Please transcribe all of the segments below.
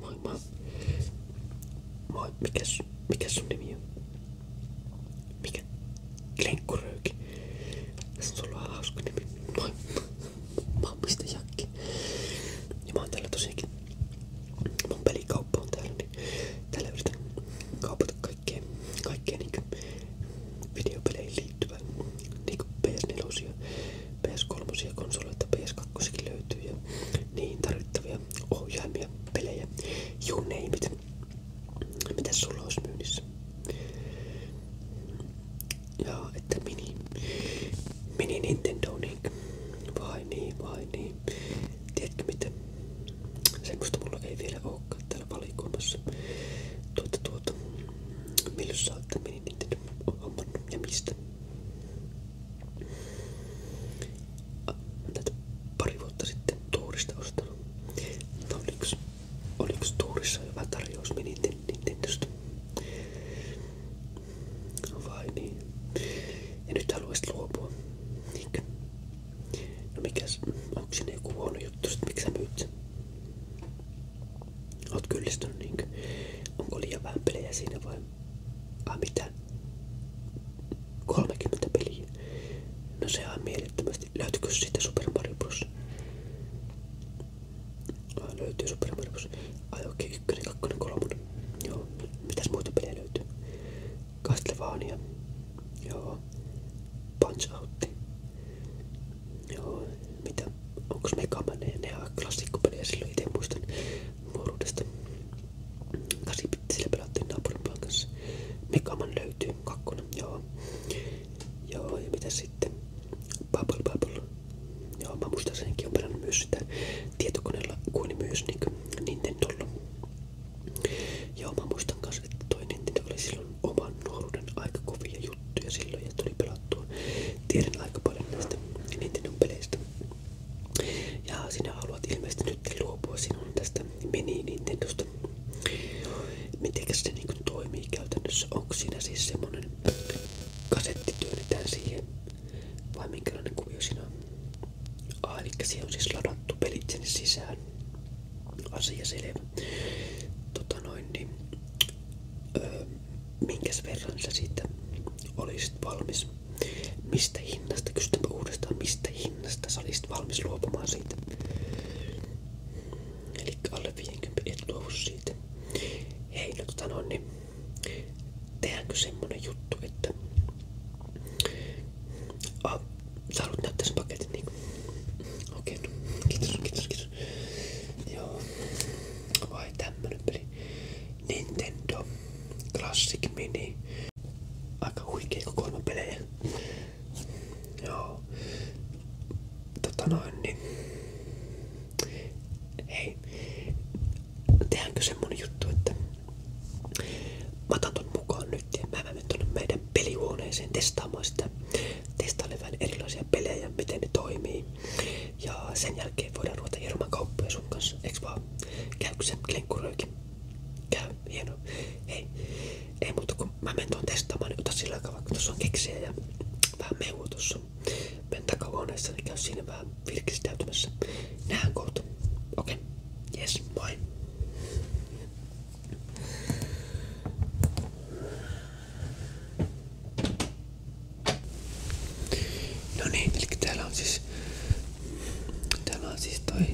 Moi moi. Moi, mikäs, mikäs sun nimi on? Mikä? Lenkkuröyki. Sulla on hauska nimi. Moi. Mä oon Piste Jakki. Ja mä oon täällä tosiaankin. Mun pelikauppa on täällä, niin täällä yritän kaupata kaikkea, kaikkea niinku videopeleihin liittyvää. Niinku PS4, PS3 konsoleita, PS kakkosekin löytyy ja niin tarvittavia ohjaimia, pelejä, you name it. mitä sulla olisi myynnissä? Ja että mini, mini Nintendo niin vai niin, vai niin. Tiedätkö mitä? Semmoista mulla ei vielä olekaan täällä valikoimassa. Tuota tuota, milloin sä oot mini Nintendo hommannut ja mistä? Tätä pari vuotta sitten tuurista ostanut. Tämä oli yksi, oli yksi tuurissa hyvä tarjous meni Nintendosta. Vai niin. Ja nyt haluaisit luopua. Niinkö? No mikäs, onko sinne joku huono juttu, sit miksi sä myyt sen? Oot kyllistynyt niinkö? Onko liian vähän pelejä siinä vai? Ah mitä? 30 peliä. No se on mielettömästi. Löytyykö siitä Super Mario Bros? Ah, löytyy Super Mario Bros. Ai okei, okay, ykkönen, kakkonen, Joo. Mitäs muita pelejä löytyy? Castlevania. Joo. Punch Out, Joo mitä, onko Megaman ja ne klassikkopelejä silloin itse muistan nuoruudesta. 8-bittisillä pelattiin naapurimaan kanssa. kakkonen, joo. ja mitä sitten? Bubble Bubble. Joo, mä muistan senkin on myös sitä tietokoneella kuin myös niin Nintendolla. Joo, mä muistan kanssa, että toinen Nintendo oli silloin oman nuoruuden aika kovia juttuja silloin ja tuli pelattua. Tiedän aika paljon näistä Nintendon peleistä. Ja sinä haluat ilmeisesti nyt luopua sinun tästä mini Nintendosta. Mitenkäs se niin toimii käytännössä? Onko siinä siis semmonen kasetti työnnetään siihen? Vai minkälainen kuvio siinä on? Ah, eli siihen on siis ladattu pelit sinne sisään. Asia selvä. Tota noin, niin, öö, minkäs verran sä siitä olisit valmis. Mistä hinnasta, kysytäänpä uudestaan, mistä hinnasta sä olisit valmis luopumaan siitä. Eli alle 50 et luovu siitä. Hei, no tota no, niin tehdäänkö semmonen juttu, että ah, sä haluat näyttää sen paketin niin? Okei, okay, no. kiitos, kiitos, kiitos joskus. Joo. Vai tämmönen peli. Nintendo Classic Mini. Aika huikea kokoelma Joo. Tota niin... Hei. Tehdäänkö semmonen juttu, että... Mä mukaan nyt ja mä menen tonne meidän pelihuoneeseen testaamaan sitä testaille vähän erilaisia pelejä, miten ne toimii. Ja sen jälkeen voidaan ruveta hieromaan kauppoja sun kanssa, eiks vaan? Käykö se lenkkuröökin? Käy, hieno. Hei, ei muuta kun mä menen tuon testaamaan, niin ota sillä aikaa vaikka tuossa on keksiä ja vähän mehua tuossa. Menen takahuoneessa, niin käy siinä vähän virkistäytymässä. Nähdään kohta. Okei, okay. yes, moi. No niin, eli täällä on siis täällä on siis toi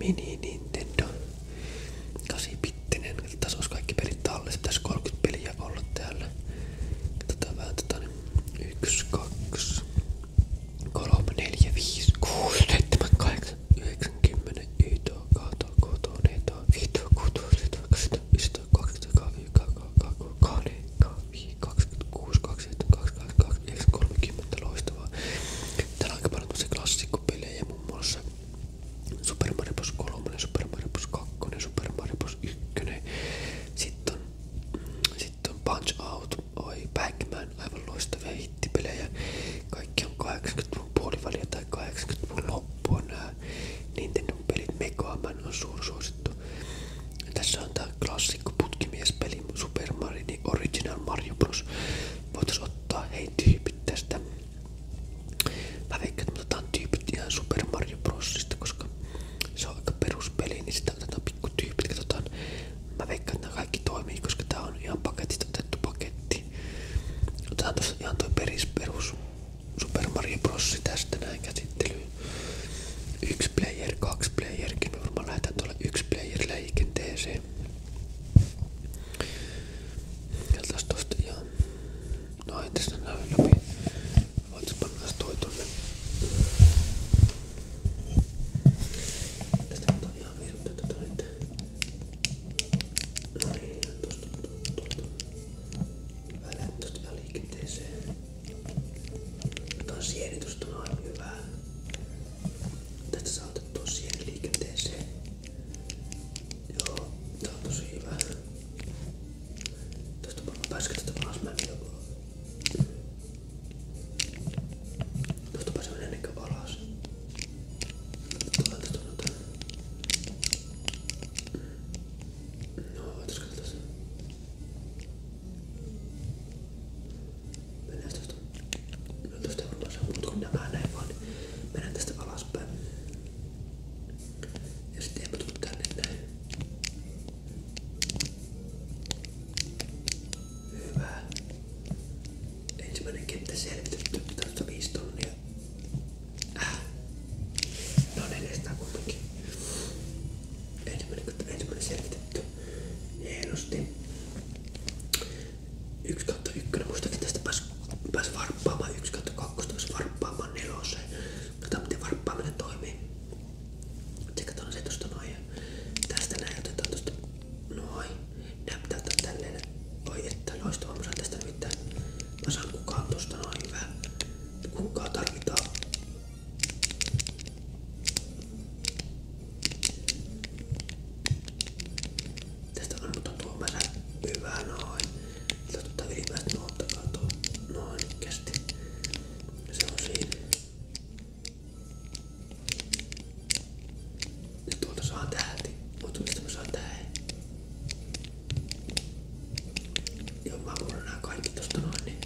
mini Nintendo 8-bittinen. Tässä olisi kaikki pelit tallessa. Tässä 30 peliä olla täällä. Katsotaan vähän tota niin. 1, 2, 3, 4, 5, 6, 7, 8, 9, 10, 11, 12, loistavaa. Täällä on aika paljon klassikkopelejä ja muun muassa Super Mario Bros. 3, Super Mario Bros. 2, Super Mario Bros. 1. Sitten on, sit on Punch Out, oi Pac-Man, aivan loistavia hittipelejä. Kaikki on 80-luvun puoliväliä tai 80-luvun loppua nää tää Nintendo-pelit Mega Man on suursuosittu. Tässä on tää klassikko putkimiespeli Super Mario niin Original Mario Bros. Voitais ottaa hei tyypit tästä. Mä veikkaan, että otetaan tyypit ihan Super Mario Brosista, koska se on aika peruspeli, niin sitä otetaan pikku tyypit. Katsotaan. Mä veikkaan, että nämä kaikki toimii, koska tää on ihan paketista otettu paketti. Otetaan tossa ihan toi peris perus Super Mario Bros. tästä näin käsittelyyn. Yksi player, kaksi playerkin. Mä varmaan lähetän tuolle yksi player liikenteeseen. Katsotaan tosta ihan... No ei tässä näy läpi. Voitko panna toi tonne? Tästä katsotaan ihan virtaa tätä nyt. No niin, tosta, tosta, tosta. Välät tuota liikenteeseen. Tämä sienitys on aina hyvää. Tästä saa otettua sieni liikenteeseen. Joo, tää on tosi hyvä. Tästä varmaan pääsikö tätä alas mä joku. Tuosta pääsen ennen kuin alas. Tulee tästä noita. Mm. No, ootas katsotaan. Mennään tosta. Mä en tosta varmaan saa muut kuin nämä näin vaan. Niin mennään tästä alaspäin. Ja sitten eipä tuu tänne näin. Hyvä. Ensimmäinen kenttä selvitetty. Tästä 5 tonnia. No 400 niin, kumminkin. Ensimmäinen, ensimmäinen selvitetty. Hienosti. 1 kautta 1, muistakin tästä pääsi, pääsi varppaamaan 1 kautta 2, pääsi varppaamaan neloseen. Katsotaan miten varppaaminen toimii. Tsekataan se tosta noin ja tästä näin otetaan tosta noin. Näyttää tälleen. Oi että loistava, mä saan tästä nimittäin Mä saan kukaan tosta noin hyvä. Kukaa tarvitaan. Tästä on mutta tuo määrä hyvä noin. Totta ylimmäistä nuotta katoo. Noin kästi. Se on siinä. Ja tuolta saa tähti. Mutta mistä mä saan tähän? Joo, mä puran nää kaikki tosta noin, niin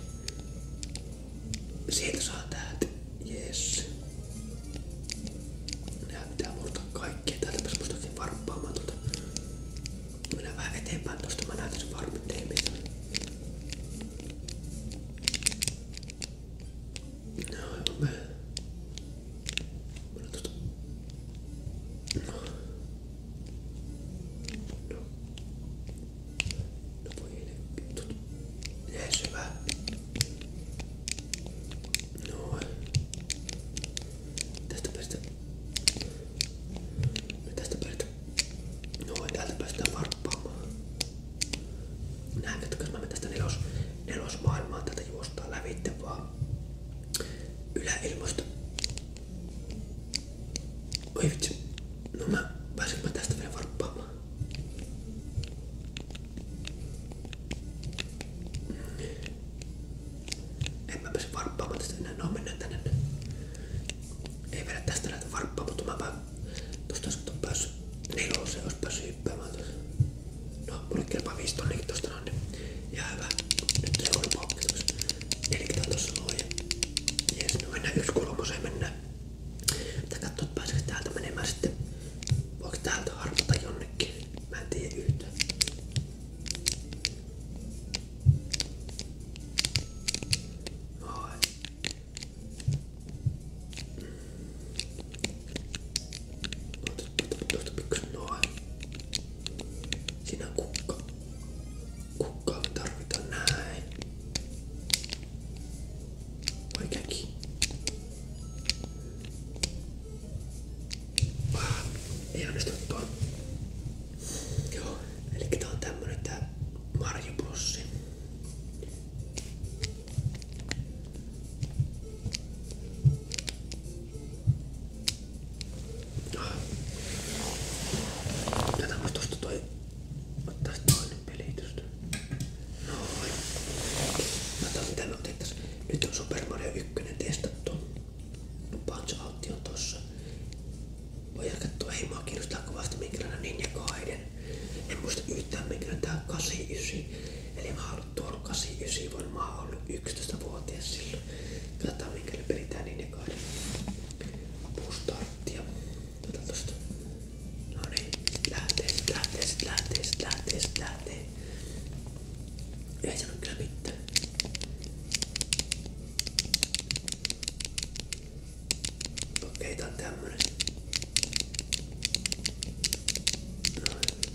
sieltä saa täältä. Yes. Nää pitää murtaa kaikkea. Täältä pääs mustakin varppaamaan tuolta. Mennään vähän eteenpäin tosta. Mä näytän sen varmin teemistä. No, mä. No voi tut. Näin syvä. Noin. Tästä päästä. Tästä päästä. Noin, täältä päästään varppaamaan. Nähdätkö, jos mä menen tästä nelos, nelos maailmaa tätä juostaa lävitte vaan yläilmoista. Oi vitsi, no mä pääsen mä tästä vielä varppaamaan. En mä pääse varppaamaan tästä enää, no mennään tänne. Ei vielä tästä näitä varppaa, mutta mä vaan tosta olisi päässyt neloseen, olisi päässyt hyppäämään tuossa. No, mulle kelpaa 5 tonnikin tosta noin, niin ihan hyvä. Nyt ei ole paukkituks. Nelikkä tää tossa luo ja jees, no mennään yksi kolmoseen mennään. Pitää katsoa, että pääseekö täältä menemään sitten. Voiko täältä harpata jonnekin? Mä en tiedä yhtään. Noin tuosta pikkusen noin. Siinä on kukka. Kukkaa me tarvitaan näin. Oikeinkin. Ah, ei onnistunut tuo. Joo, eli tää on tämmönen tää Marjo Plussi. Katsotaan tosta toi. Ottais toinen pelitystä. Noin. Katsotaan mitä me otettais. Nyt on Super Mario 1 testattu. Punch Out on tossa. Voidaan katsoa, ei mua kiinnostaa kovasti minkälainen Ninja Gaiden. En muista yhtään minkälainen tää on 89. Eli mä ollut tuolla 89, varmaan ollut 11-vuotias silloin. Katsotaan minkäli peritään niin kahden puustarttia. Otetaan tosta. No niin, lähtee sit, lähtee sit, lähtee sit, lähtee sit, lähtee. Ei sano kyllä mitään. Okei, tää on tämmönen. Noin. Niin.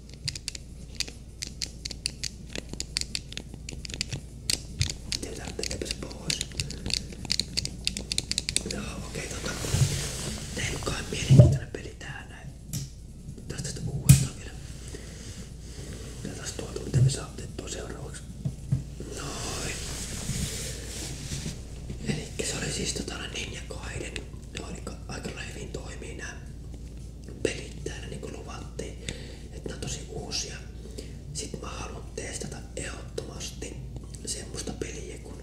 Jätetään tekepä se pois. Joo, no, okei, okay, tota. Tein kai mielenkiintoinen peli täällä. Tästä tästä uudestaan vielä. Ja taas tuolta, mitä me saa otettua seuraavaksi. Noin. Elikkä se oli siis tota Ninja Kaiden. Ne aika, aika hyvin toimii nää pelittää niin kuin luvattiin, että nämä on tosi uusia. Sitten mä haluan testata ehdottomasti semmoista peliä kuin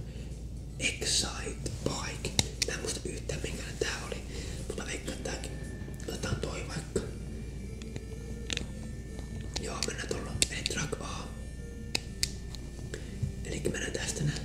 Excite Bike. Mä en muista yhtään minkälainen tää oli, mutta mä veikkaan tääkin. Otetaan toi vaikka. Joo, mennään tuolla. Eli track A. Eli mennään tästä näin.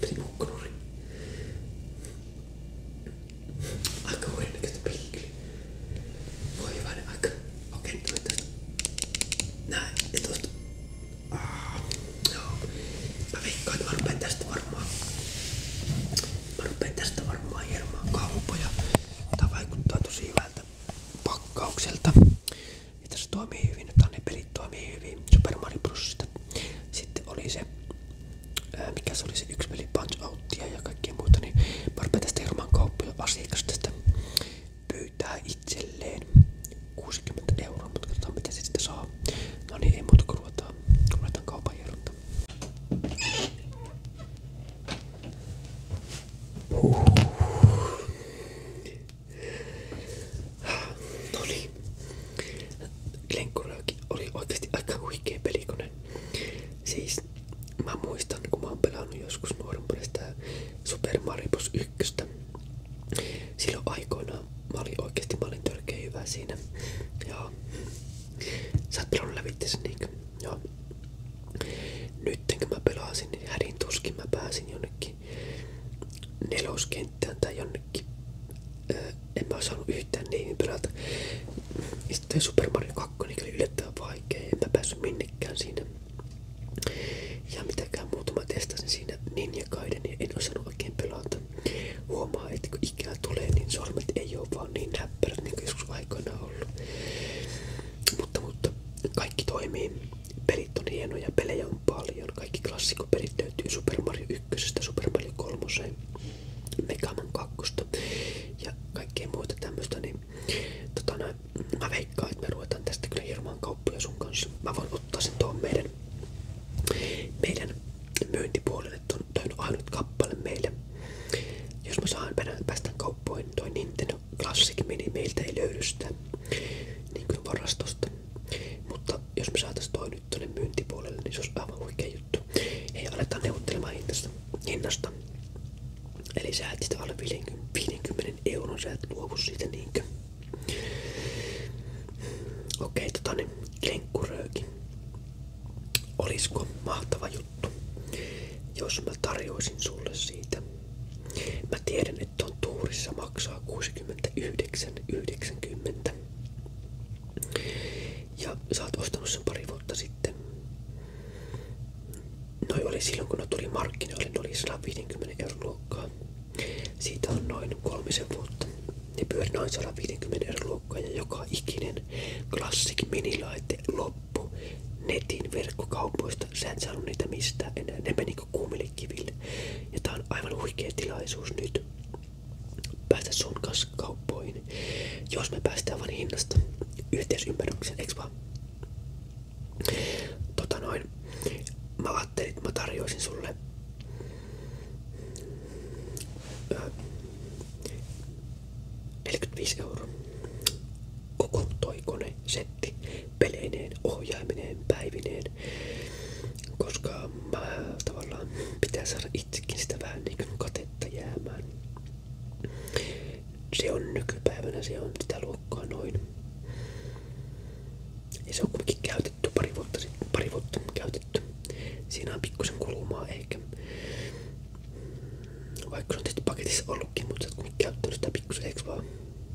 Primukkuri. Aika huidennäköistä pilkkiä. Voi hyvä niin aika. Okei, okay, toivottavasti. Näin, ja tosta. Ah, joo. Mä veikkaan, että mä rupean tästä varmaan. Mä rupean tästä varmaan hieromaan kaupoja. Tää vaikuttaa tosi hyvältä pakkaukselta että se toimii hyvin, että ne pelit toimii hyvin. Super Mario Brosista. Sitten oli se, ää, mikä se oli se yksi peli Punch Outtia ja kaikkea muuta, niin mä rupean tästä ilman kauppoja asiakas tästä pyytää itselleen 60 euroa, mutta katsotaan mitä se sitten saa. No niin, ei muuta kuin ruvetaan, ruvetaan kaupan hieronta. Huhhuh. No niin. Lenkkuraaki oli oikeasti aika huikea pelikone. Siis mä muistan, kun mä oon pelannut joskus nuorempana sitä Super Mario Bros. 1. Silloin aikoinaan mä olin oikeasti mä olin törkeä hyvä Ja sä oot pelannut lävitte Nyt kun mä pelasin, niin hädin tuskin mä pääsin jonnekin neloskenttään tai jonnekin. Öö, en mä saanut yhtään niihin pelata. Sitten Super Mario 2 niin yllättävän vaikea, en mä päässyt minnekään siinä. Ja mitäkään muuta mä testasin siinä Ninja Gaiden ja niin en osannut oikein pelata. Huomaa, että kun ikää tulee, niin sormet ei ole vaan niin näppärät niin kuin joskus aikoina ollut. Mutta, mutta kaikki toimii. Pelit on hienoja, pelejä on on paljon. Kaikki klassikkopelit löytyy Super Mario 1, Super Mario 3, Megaman 2 ja kaikkea muuta tämmöistä. Niin, tota, mä veikkaan, että me ruvetaan tästä kyllä hirmaan kauppoja sun kanssa. Mä voin ottaa sen tuon meidän, meidän myyntipuolelle. Toi on ainut kappale meille. Jos mä saan päästään kauppoin toi Nintendo Classic Mini meiltä ei löydy sitä niin kuin varastosta. Mutta jos me saatais toi nyt tonne myyntipuolelle, niin se olisi aivan huikea juttu. Ei aletaan neuvottelemaan hintasta, hinnasta. Eli sä et sitä alle 50, 50 euron, sä et luovu siitä niinkö. Okei, tota niin, lenkkurööki. Olisiko mahtava juttu, jos mä tarjoisin sulle siitä. Mä tiedän, nyt on tuurissa maksaa 69,90. Ja sä oot ostanut sen pari vuotta sitten. Noi oli silloin kun ne tuli markkinoille, niin ne oli 150 euron luokkaa. Siitä on noin kolmisen vuotta. Ne pyöri noin 150 euron luokkaa ja joka ikinen Classic minilaite loppu netin verkkokaupoista. Sä et saanut niitä mistään enää. Ne meni niinku kuumille kiville. Ja tää on aivan huikea tilaisuus nyt päästä sun kanssa kauppoihin. Jos me päästään vaan hinnasta yhteisymmärrykseen, eiks vaan? Tota noin, mä ajattelin, että mä tarjoisin sulle ö, 45 euroa. Koko toi kone, se setti peleineen, ohjaimineen, päivineen. Koska mä tavallaan pitää saada itsekin sitä vähän niin katetta jäämään. Se on nykypäivänä, se on sitä luokkaa noin. Ja se on kuitenkin käytetty pari vuotta sitten, pari vuotta käytetty. Siinä on pikkusen kulumaa ehkä. Vaikka se on tietysti paketissa ollutkin, mutta sä oot käyttänyt sitä pikkusen, eikö vaan?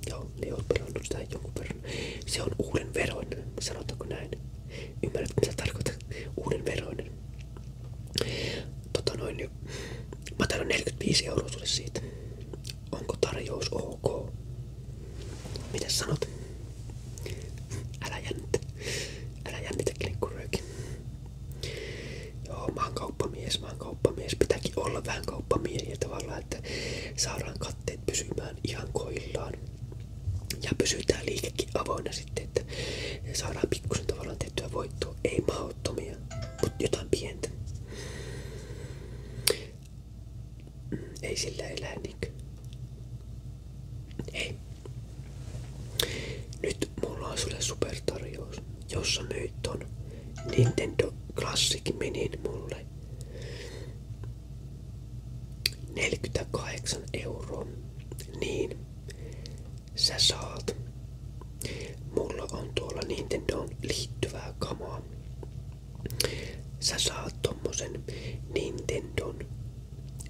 Joo, Leo on pelannut sitä jonkun verran. Se on uuden veroinen, sanotaanko näin. Ymmärrät mitä tarkoitan? Uuden veroinen. Tota noin, mä tarjoan 45 euroa sulle siitä. Onko tarjous ok? Mitäs sanot? Älä jännitä. Älä jännitä, klikkuröökin. Joo, mä oon kauppamies, mä oon kauppamies. Pitääkin olla vähän kauppamiehiä tavallaan, että saadaan katteet pysymään ihan koillaan. Ja pysytään liikekin avoinna sitten, että saadaan pikkusen tavallaan tehtyä voittoa. Ei mahdottomia, mutta jotain pientä. Mm, ei sillä elää niinkö. Ei. Nyt mulla on sulle supertarjous, jossa myyt ton Nintendo Classic Minin mulle 48 euroa. Niin, sä saat. Mulla on tuolla Nintendo liittyvää kamaa. Sä saat tommosen Nintendon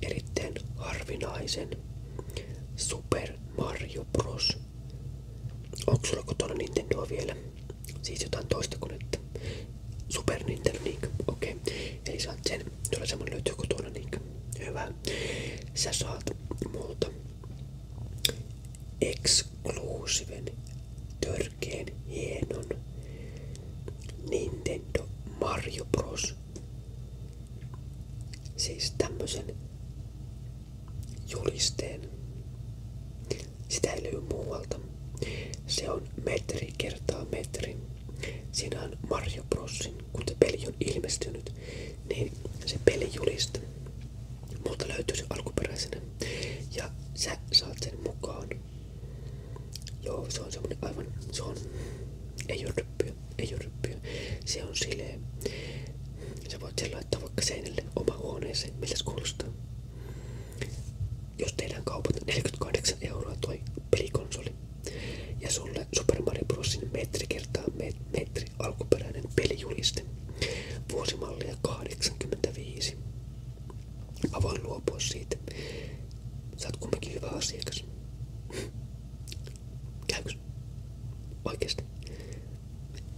erittäin harvinaisen Super Mario Bros. Onko sulla kotona Nintendoa vielä? Siis jotain toista konetta. Super Nintendo, niinkö? Okei. Okay. Eli saat sen. Tuolla semmonen löytyy kotona, niinkö? Hyvä. Sä saat muuta, eksklusiven, törkeen, hienon Nintendo Mario Bros. Siis tämmösen julisteen. Sitä ei löy muualta. Se on metri kertaa metri. Siinä on Mario Brosin, kun se peli on ilmestynyt, niin se peli pelijuliste. mutta löytyy se alkuperäisenä. Ja sä saat sen mukaan. Joo, se on semmonen aivan, se on, ei oo ryppyä, ei oo ryppyä. Se on silleen, Sä voit sen laittaa vaikka seinille oma huoneeseen, miltä se kuulostaa. Jos teidän kaupat 48 niin euroa toi pelikonsoli ja sulle Super Mario Brosin metri kertaa metri alkuperäinen pelijuliste vuosimallia 85. Mä voin luopua siitä. Sä oot kumminkin hyvä asiakas. Käykö yksi. Oikeasti.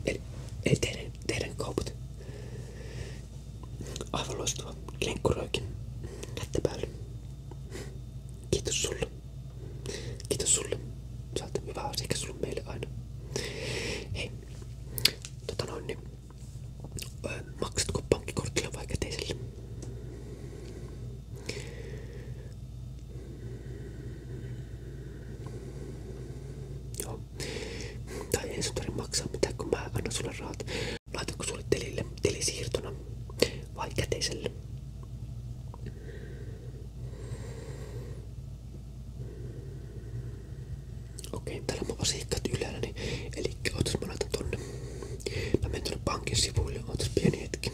Eli, eli teidän, teidän kaupat. Aivan loistava. Lenkkuröikin. Kättä päälle. Kiitos sulle. Kiitos sulle. Sä oot hyvä asiakas sulle meille aina. Hei. Tota noin niin. Öö, maksatko pankkikortilla vai käteisellä? Joo. Tai ei sun tarvitse maksaa mitään, kun mä annan sulle rahat. Laitatko vai käteiselle? Okei, okay, täällä mä vasiikkaat eli ootas mä laitan tonne. Mä menen tonne pankin sivuille, ootas pieni hetki.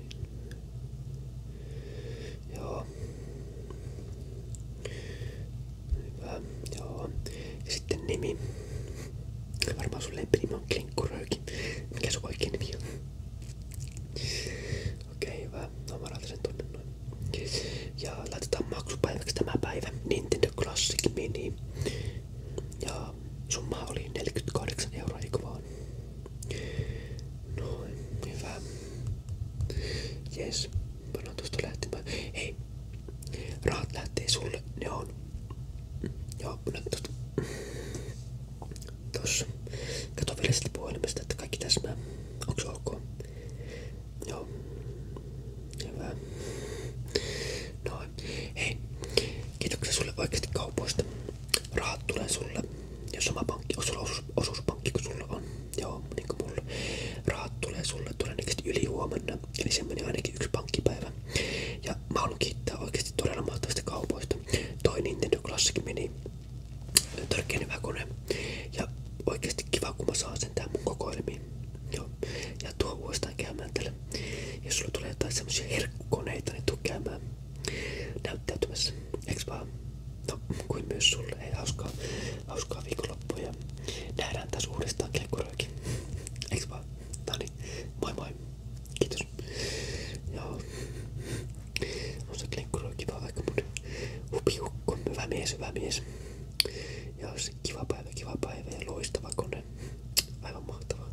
siinä. Joo. Hyvä, joo. Ja sitten nimi. Varmaan sun lempinimi on Klinkkurööki. Mikä sun oikein nimi on? Okei, okay, hyvä. No mä sen tonne noin. Ja laitetaan maksupäiväksi tämä päivä Nintendo Classic Mini. Ja summa oli 48 euroa, eikö vaan? Noin, hyvä. Jes, pannaan tuosta lähtemään. Hei, rahat lähtee sulle. Ne on. Joo, pannaan tuosta. Tossa. Kato vielä sitä puhelimesta, että kaikki täsmää. Onks ok? Joo. Hyvä. Noin. Hei, kiitoksia sulle oikeasti kaupoista rahat sulle, jos oma pankki, jos osuus, osuuspankki kun on, joo, niin kuin mulla, rahat tulee sulle todennäköisesti yli eli se meni yksi pankkipäivä. Ja mä haluan kiittää oikeasti todella mahtavista kaupoista. Toi Nintendo meni törkeenevä kone. Ja oikeasti kiva kun mä saan sen tähän Joo. Ja tuo uudestaan käymään tällä. Jos sulla tulee jotain semmosia herkkukoneita, niin tuu käymään näyttäytymässä, eiks vaan? No, kuin myös sulle. Hei, hauskaa, hauskaa viikonloppua ja nähdään tässä uudestaan kekkuroikin. Eiks vaan? No niin, moi moi. Kiitos. Joo. On se kekkuroikin vaan aika mun hupiukko. Hyvä mies, hyvä mies. Ja se kiva päivä, kiva päivä ja loistava kone. Aivan mahtavaa.